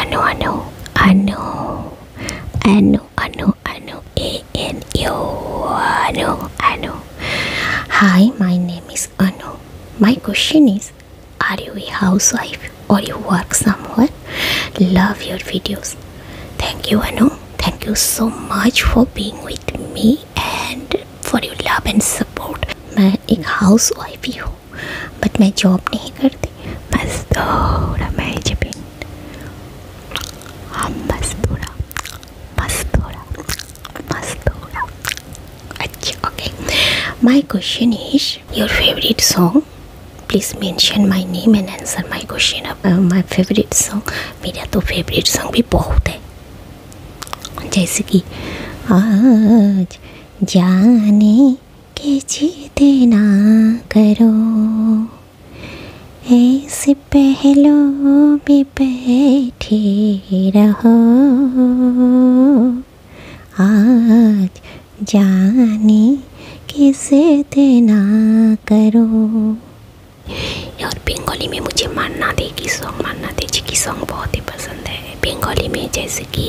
Anu anu anu anu anu anu a n u anu anu. Hi, my name is Anu. My question is, are you a housewife or you work somewhere? Love your videos. Thank you, Anu. Thank you so much for being with me and for your love and support. मैं एक house wife but मैं job नहीं करती बस थोड़ा management हम हाँ, बस थोड़ा बस थोड़ा बस थोड़ा अच्छा okay my question is your favourite song please mention my name and answer my question मेरा तो फेवरेट सॉन्ग भी बहुत है जैसे कि आज जाने के जीते ना करो ऐसे पहलो में बैठे रहो आज जाने किसे देना करो और बंगाली में मुझे मानना दे की सॉन्ग मानना दे जी की सॉन्ग बहुत ही पसंद है बंगाली में जैसे कि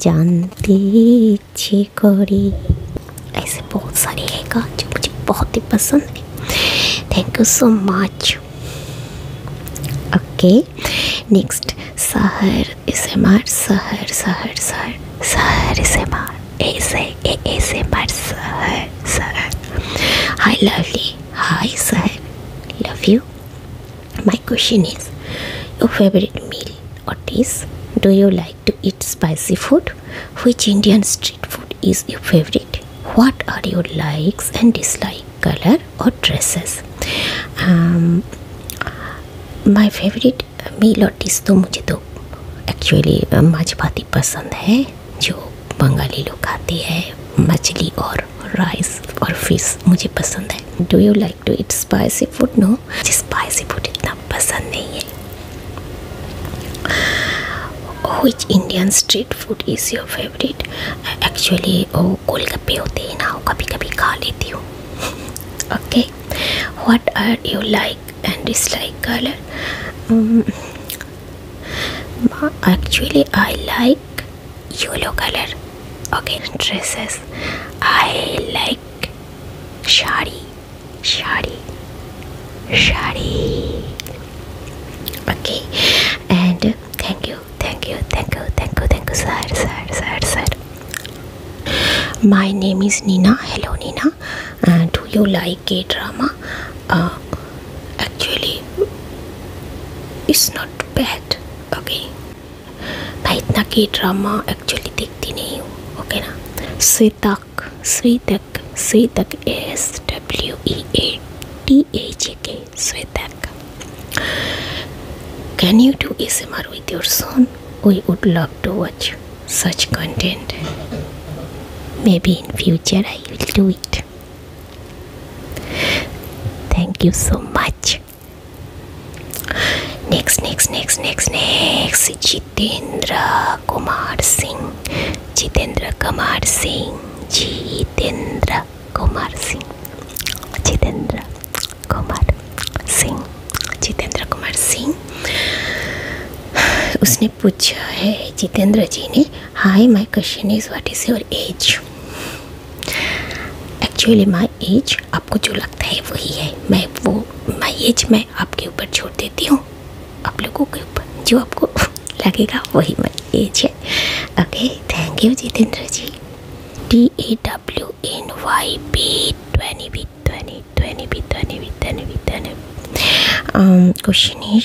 जानते इच्छे करी ऐसे बहुत सारे है का जो मुझे बहुत ही पसंद है thank you so much okay next Sahar इसे मार शहर शहर सहर सहर इसे मार ऐसे ऐसे मार Sahar Sahar hi lovely hi Sahar love you My question is Your favorite meal or dish? Do you like to eat spicy food? Which Indian street food is your favorite? What are your likes and dislike color or dresses? Um, my favorite meal or dish तो मुझे तो actually माछ भाती पसंद है जो बंगाली लोग खाते हैं मछली और राइस और फिश मुझे पसंद है do you like to eat spicy food no मुझे स्पाइसी फूड इतना पसंद नहीं है which Indian street food is your favourite actually वो गोलगप्पे होते हैं ना वो कभी कभी खा लेती हूँ okay what are you like and dislike colour actually I like yellow color okay dresses I like shari shari shari okay and thank you thank you thank you thank you thank you sir sir sir sir my name is Nina hello Nina do you like a drama uh, actually it's not bad okay मैं इतना की drama actually देखती नहीं हूँ okay okay ना Shwetak Shwetak Shwetak S W E A T A J K Shwetak can you do S M R with your son we would love to watch such content. Maybe in future I will do it much. Thank you so much. Next, next, next, next, next. Jitendra Kumar Singh. Jitendra Kumar Singh. Jitendra Kumar Singh. Jitendra Kumar Singh. Jitendra Kumar Singh उसने पूछा है जितेंद्र जी ने hi my question is what is your age? Actually my age आपको जो लगता है वही है मैं वो माई एज मैं आपके ऊपर छोड़ देती हूँ आप लोगों के ऊपर जो आपको लगेगा वही माई एज है okay thank you Jitendra ji T A W N Y B twenty B twenty twenty B twenty B twenty B twenty question is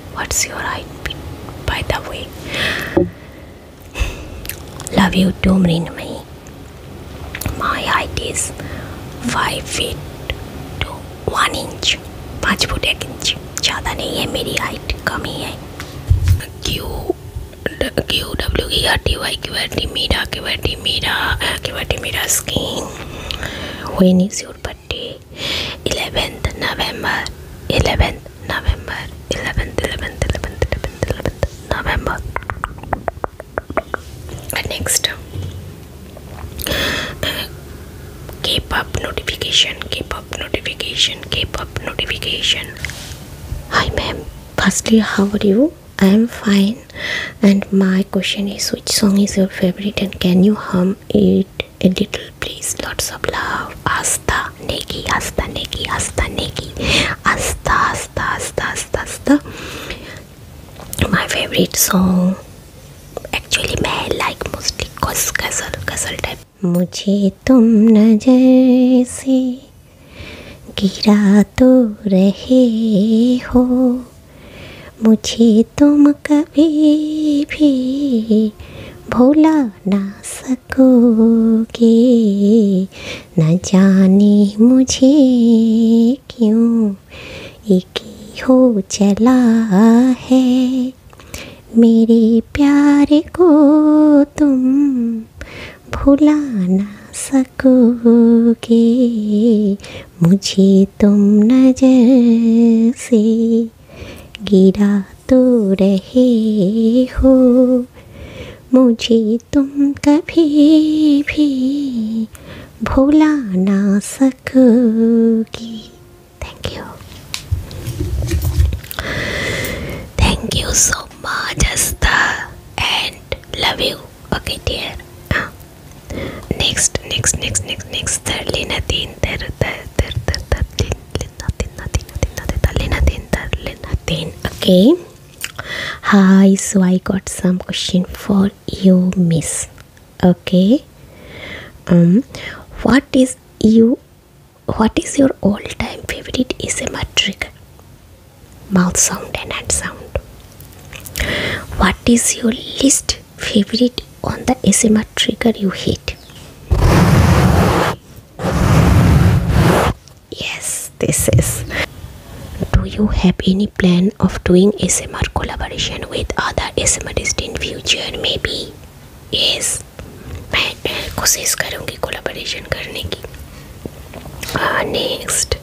What's your height, by the way? Love you too, Mrinmay. My height is five feet to one inch. पाँच foot एक inch ज़्यादा नहीं है मेरी height कम ही है Q Q W की R T Y Q R T मेरा क्यू आर टी मेरा क्यू आर टी मेरा skin when is your birthday 11th November 11th November 11th November next uh, keep up notification keep up notification keep up notification hi ma'am firstly how are you i am fine and my question is which song is your favorite and can you hum it a little please lots of love asta neki asta neki asta neki asta asta asta asta asta my favorite song actually मैं like mostly ghazal ghazal type मुझे तुम नजर से गिरा तो रहे हो मुझे तुम कभी भी भुला ना सकोगे न जाने मुझे क्यों एक हो चला है मेरे प्यार को तुम भुला ना सकोगे मुझे तुम नजर से गिरा तो रहे हो मुझे तुम कभी भी भुला ना सकोगी thank you thank you so much Asta and love you okay dear Next, next, next, next, next. Thirdly, nothing. Third, third, third, third, nothing, nothing, nothing, nothing. Thirdly, nothing. Thirdly, nothing. Okay. Hi. So I got some question for you, Miss. Okay. Um, what is you? What is your all-time favorite is a metric? Mouth sound and hand sound. What is your least favorite on the ASMR trigger you hate? Yes, this is. Do you have any plan of doing ASMR collaboration with other ASMRists in future? Maybe. Yes. मैं कोशिश करूँगी collaboration करने की next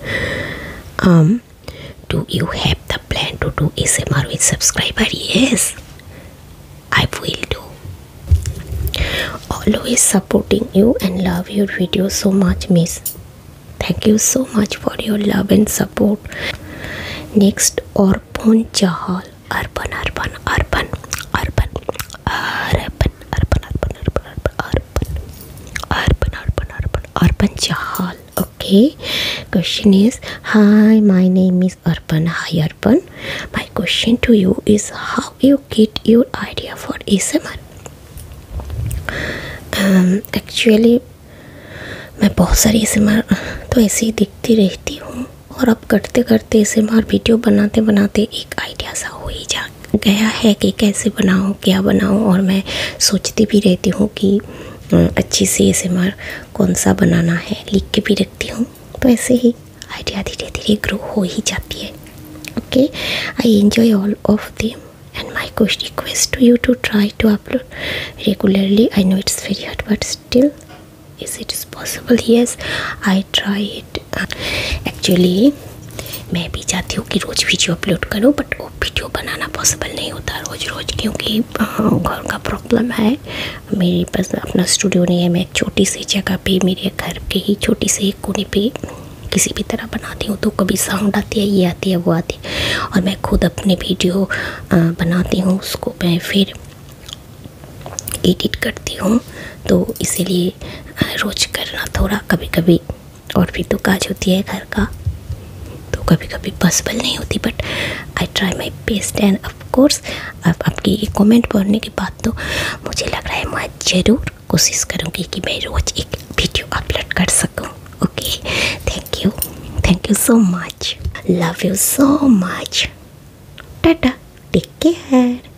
um, Do you have the plan to do SMR with subscriber? Yes, I will do. Always supporting you and love your video so much, Miss. Thank you so much for your love and support. Next, Orpon Chahal, urban, urban, urban, urban, urban, urban, urban, urban, urban, urban urban urban urban urban jahal okay question is hi my name is urban hi urban my question to you is how you get your idea for asmr um actually मैं बहुत सारी ASMR तो ऐसे ही देखती रहती हूँ और अब करते करते एसएमआर वीडियो बनाते बनाते एक आइडिया सा हो ही जा गया है कि कैसे बनाऊँ क्या बनाऊँ और मैं सोचती भी रहती हूँ कि अच्छी सी एस कौन सा बनाना है लिख के भी रखती हूँ तो ऐसे ही आइडिया धीरे धीरे ग्रो हो ही जाती है okay I enjoy all of them and my course request to you to try to upload regularly i know it's very hard but still is it is possible yes i try it actually मैं भी चाहती हूँ कि रोज़ video upload करूँ but वो video बनाना possible नहीं होता रोज़ रोज़ क्योंकि हाँ, घर का प्रॉब्लम है मेरे पास अपना स्टूडियो नहीं है मैं एक छोटी सी जगह पे मेरे घर के ही छोटी सी कोने पे किसी भी तरह बनाती हूँ तो कभी साउंड आती है ये आती है वो आती है और मैं खुद अपने वीडियो बनाती हूँ उसको मैं फिर एडिट करती हूँ तो इसीलिए रोज़ करना थोड़ा कभी कभी और भी तो काज होती है घर का तो कभी कभी पॉसिबल नहीं होती but I try my best and of course अब आपकी एक कॉमेंट पढ़ने के बाद तो मुझे लग रहा है मैं ज़रूर कोशिश करूँगी कि मैं रोज़ एक वीडियो अपलोड कर सकूँ okay thank you thank you so much love you so much tata take care